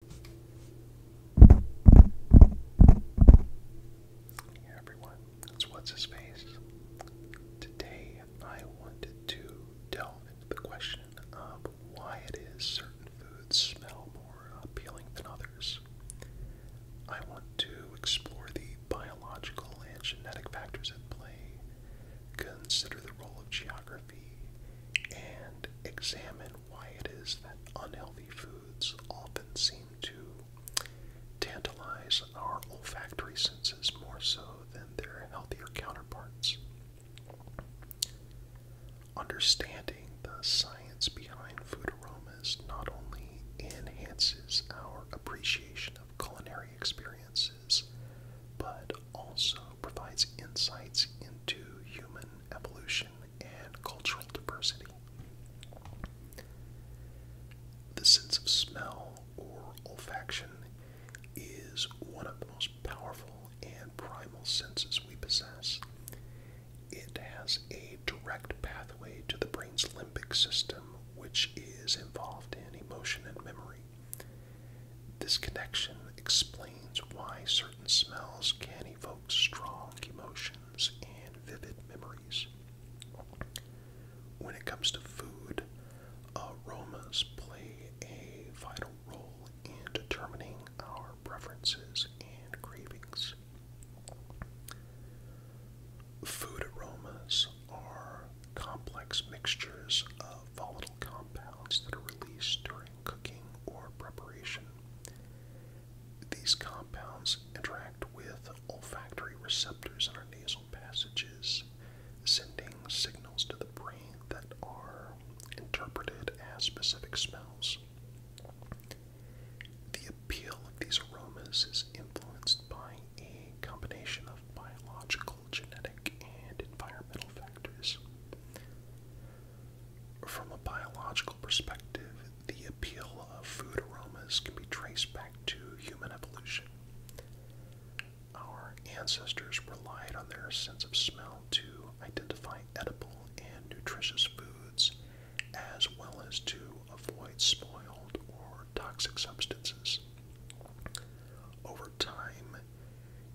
Hey everyone, it's What's His Face. Today I wanted to delve into the question of why it is certain foods smell more appealing than others. I want to explore the biological and genetic factors at play, consider the role of geography, and examine why it is that unhealthy foods often seem to tantalize our olfactory senses more so than their healthier counterparts. Understanding the science behind food aromas not only enhances our appreciation of culinary experiences, but also provides insights into human evolution and cultural diversity. The sense of smell or olfaction is one of the most powerful and primal senses we possess. It has a direct pathway to the brain's limbic system, which is involved in emotion and memory. This connection explains why certain smells can evokes strong emotions and vivid memories. When it comes to food, aromas play a vital role in determining our preferences and cravings. Food aromas are complex mixtures of volatile compounds that are released during cooking or preparation these compounds interact with olfactory receptors in our nasal passages, sending signals to the brain that are interpreted as specific smells. The appeal of these aromas is influenced by a combination of biological, genetic, and environmental factors. From a biological perspective, the appeal of food aromas can be traced back to human evolution. Our ancestors relied on their sense of smell to identify edible and nutritious foods, as well as to avoid spoiled or toxic substances. Over time,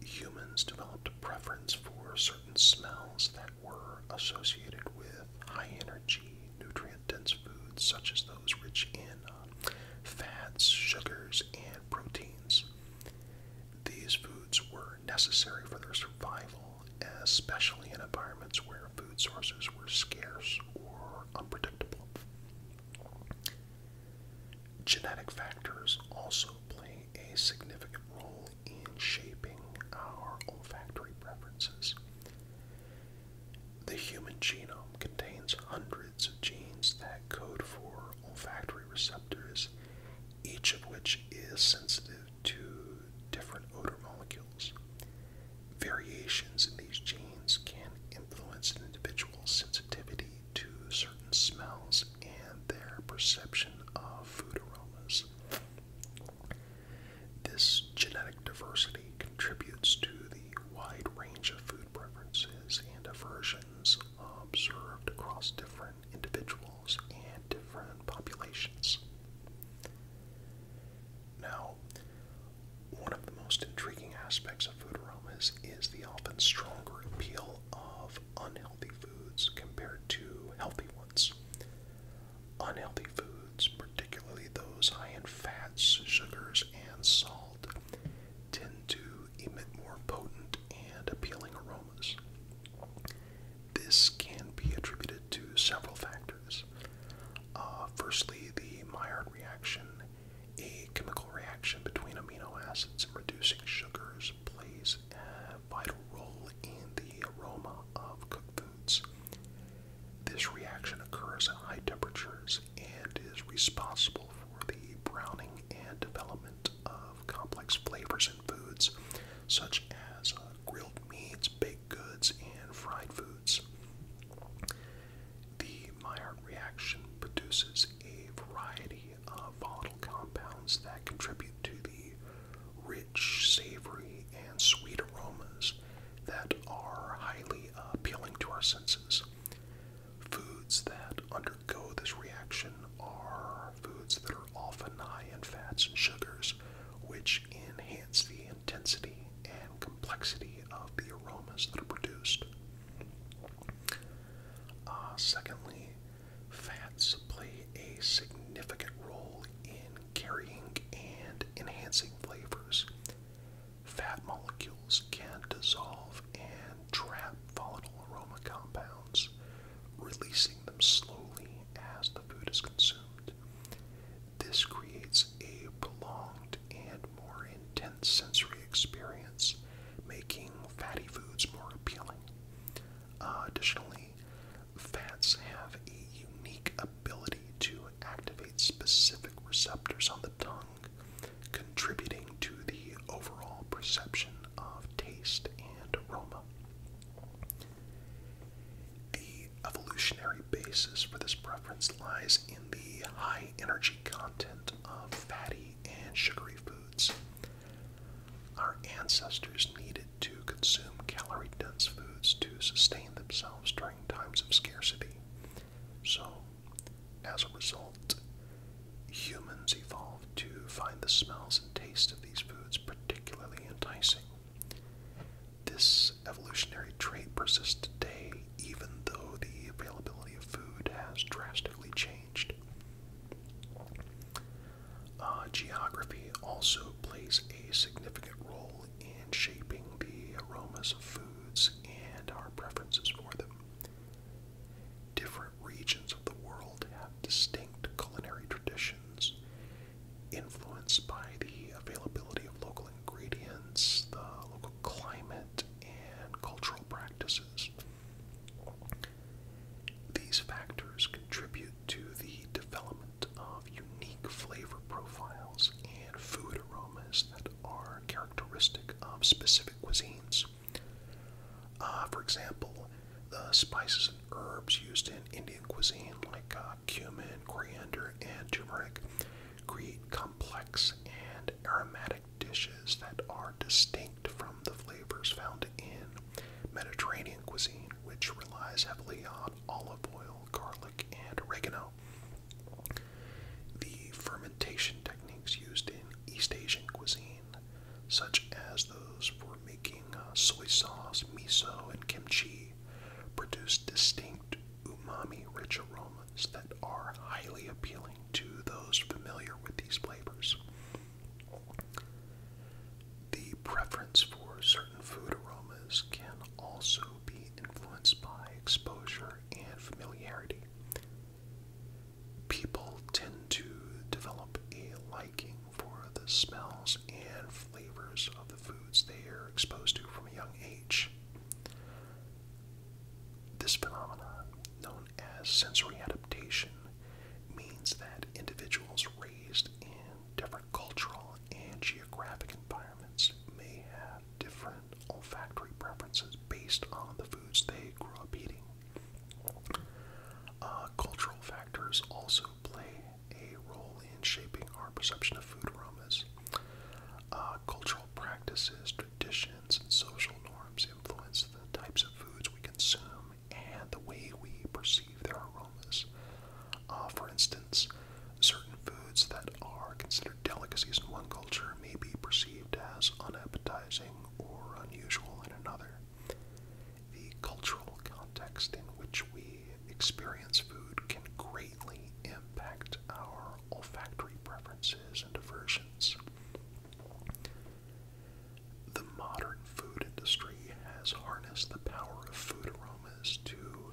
humans developed a preference for certain smells that were associated with high energy, nutrient dense foods, such as those rich in uh, fats, sugars, and proteins. These foods were necessary for their survival, especially in environments where food sources were scarce or unpredictable. Genetic factors also play a significant role in shaping our olfactory preferences. The human genome contains hundreds of genes that code for olfactory receptors, each of which is sensitive to different odor molecules. Variations in these genes can influence an individual's sensitivity to certain smells and their perception of food aromas. This genetic diversity contributes to the wide range of food preferences and aversions observed across different individuals and different populations. Now, one of the most intriguing aspects of food aromas is the often stronger appeal of unhealthy foods compared to healthy ones. Unhealthy foods, particularly those high in fats, sugars, and salt, tend to emit more potent and appealing aromas. This can be attributed to several factors. Uh, firstly, the Maillard reaction, a chemical reaction between amino acids and reducing sugars, plays vital role in the aroma of cooked foods. This reaction occurs at high temperatures and is responsible for the browning and development of complex flavors in foods such as uh, grilled meats, baked goods, and fried foods. The Maillard reaction produces a variety volatile uh, compounds that contribute to the rich, savory, and sweet aromas that are highly appealing to our senses. Foods that undergo this reaction are foods that are often high in fats and sugars, which enhance the intensity and complexity of the aromas that are produced. Uh, secondly, Fats play a significant role in carrying and enhancing flavors. Fat molecules can dissolve and trap volatile aroma compounds, releasing them slowly as the food is consumed. This creates a prolonged and more intense sensory experience, making fatty foods more appealing. Uh, additionally, fats have a unique ability to activate specific receptors on the tongue, contributing to the overall perception of taste and aroma. The evolutionary basis for this preference lies in the high energy content of fatty and sugary foods, our ancestors needed to consume calorie dense foods to sustain themselves during times of scarcity. So, as a result, humans evolved to find the smells and taste of these foods particularly enticing. This evolutionary trait persists today, even though the availability of food has drastically changed. Uh, geography also plays a significant role in shaping the aromas of foods and our preferences for them. Different regions of the world have distinct culinary traditions influenced by the availability of local ingredients, the local climate, and cultural practices. These factors contribute to the development of unique flavor profiles and food aromas that are characteristic of specific cuisines. Uh, for example, the spices and herbs used in Indian cuisine, like uh, cumin, coriander, and turmeric, create complex and aromatic dishes that are distinct from the flavors found in Mediterranean cuisine, which relies heavily on olive oil, garlic, and oregano. The fermentation techniques used in East Asian cuisine, such as those for making uh, soy sauce, miso, and kimchi, produce distinct umami rich aromas that are highly appealing to those familiar with these flavors. The preference for certain food aromas can also be influenced by exposure and familiarity. People tend to develop a liking for the smells and flavors of the foods they are exposed to from a young age. This phenomenon, known as sensory adaptation, means that individuals raised in different cultural and geographic environments may have different olfactory preferences based on the foods they grew up eating. Uh, cultural factors also play a role in shaping our perception of food aromas. Uh, cultural practices, traditions, and social norms influence the types of foods we consume and the way we perceive their aromas. Uh, for instance, certain foods that are considered delicacies in one culture may be perceived as unappetizing or unusual in another. The cultural context in which we experience food can greatly impact our olfactory preferences and aversions. The modern food industry has harnessed the power of food aromas to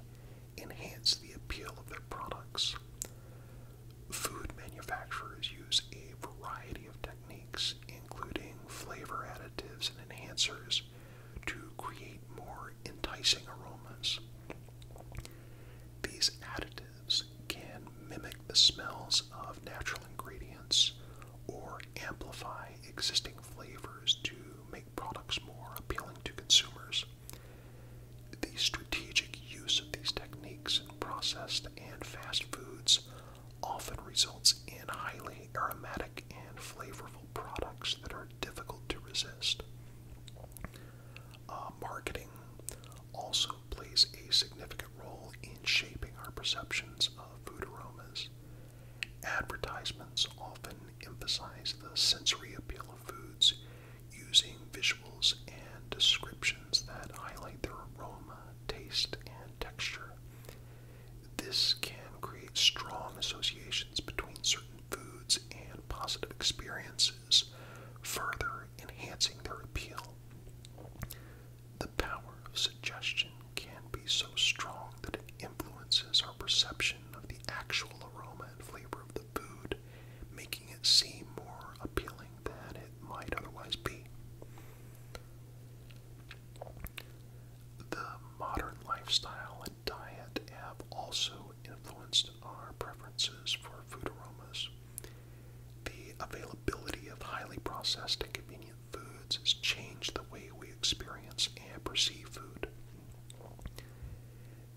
enhance the appeal of their products. Food manufacturers use a variety of techniques, including flavor additives and enhancers, to create more enticing aromas. These additives can mimic the smells of natural ingredients or amplify existing flavors to make products more appealing to consumers. The strategic use of these techniques in processed and fast foods often results in highly aromatic and flavorful products that are difficult to resist. Uh, marketing also plays a significant role in shaping our perceptions of food aromas. Advertisements often emphasize the sensory appeal of foods using visuals and descriptions that highlight their aroma, taste, and texture. This can create strong associations between certain foods and positive experiences, further enhancing their appeal. The power of suggestion can be so strong that it influences our perception of the actual aroma and flavor of the food, making it seem more appealing than it might otherwise be. The modern lifestyle and diet have also influenced our preferences for food aromas. The availability of highly processed and convenient foods has changed the way we experience and perceive food.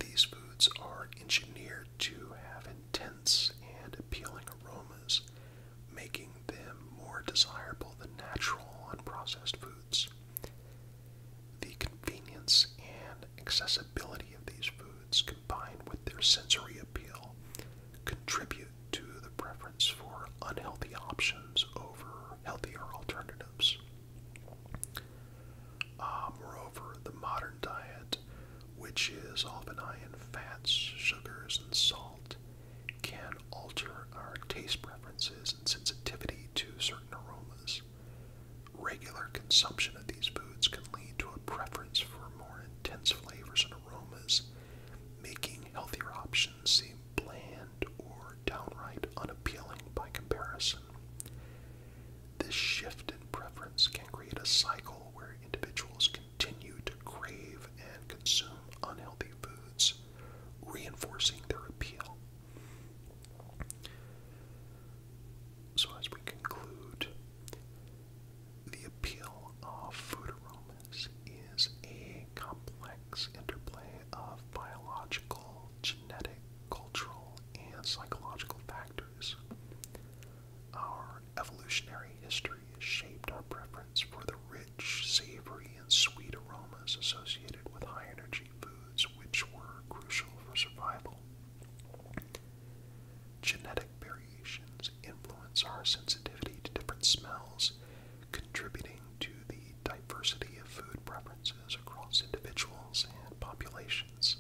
These foods are engineered to have intense and appealing aromas, making them more desirable than natural unprocessed foods. The convenience and accessibility of these foods, combined with their sensory appeal, contribute to the preference for unhealthy options over healthier alternatives. Uh, moreover, the modern diet, which is often high in fats, sugars, and salt, can alter our taste preferences and sensitivity to certain aromas. Regular consumption of these foods can lead to a preference for more Tense flavors and aromas, making healthier options seem bland or downright unappealing by comparison. This shift in preference can create a cycle where individuals continue to crave and consume unhealthy foods, reinforcing their appeal. So, as we conclude, the appeal of food aromas is a complex interplay of biological, genetic, cultural, and psychological factors. Our evolutionary history has shaped our preference for the rich, savory, and sweet aromas associated with high energy foods, which were crucial for survival. Genetic variations influence our sensitivity to different smells, contributing to the diversity of food preferences across individuals and populations.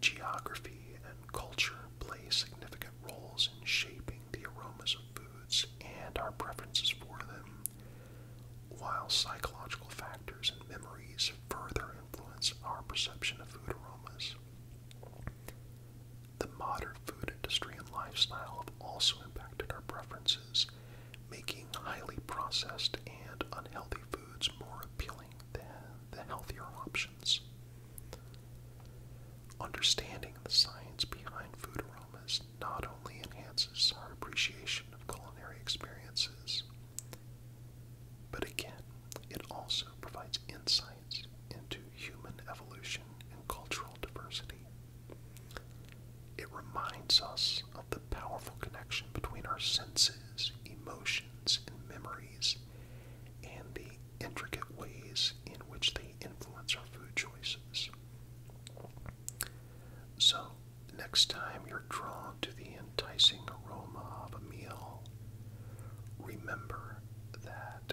Geography and culture play significant roles in shaping the aromas of foods and our preferences for them, while psychological factors and memories further influence our perception of food aromas. The modern food industry and lifestyle have also impacted our preferences, making highly processed and unhealthy foods more appealing than the healthier options. Understanding the science behind food aromas not only enhances our appreciation of culinary experiences, but again, it also provides insights into human evolution and cultural diversity. It reminds us of the powerful connection between our senses, emotions, and memories, and the intricate ways in which they influence our food choices. So, next time you're drawn to the enticing aroma of a meal, remember that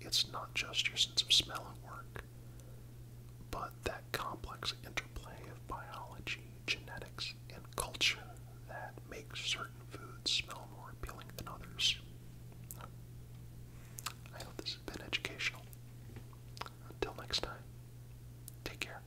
it's not just your sense of smell at work, but that complex interplay of biology, genetics, and culture that makes certain foods smell more appealing than others. I hope this has been educational. Until next time, take care.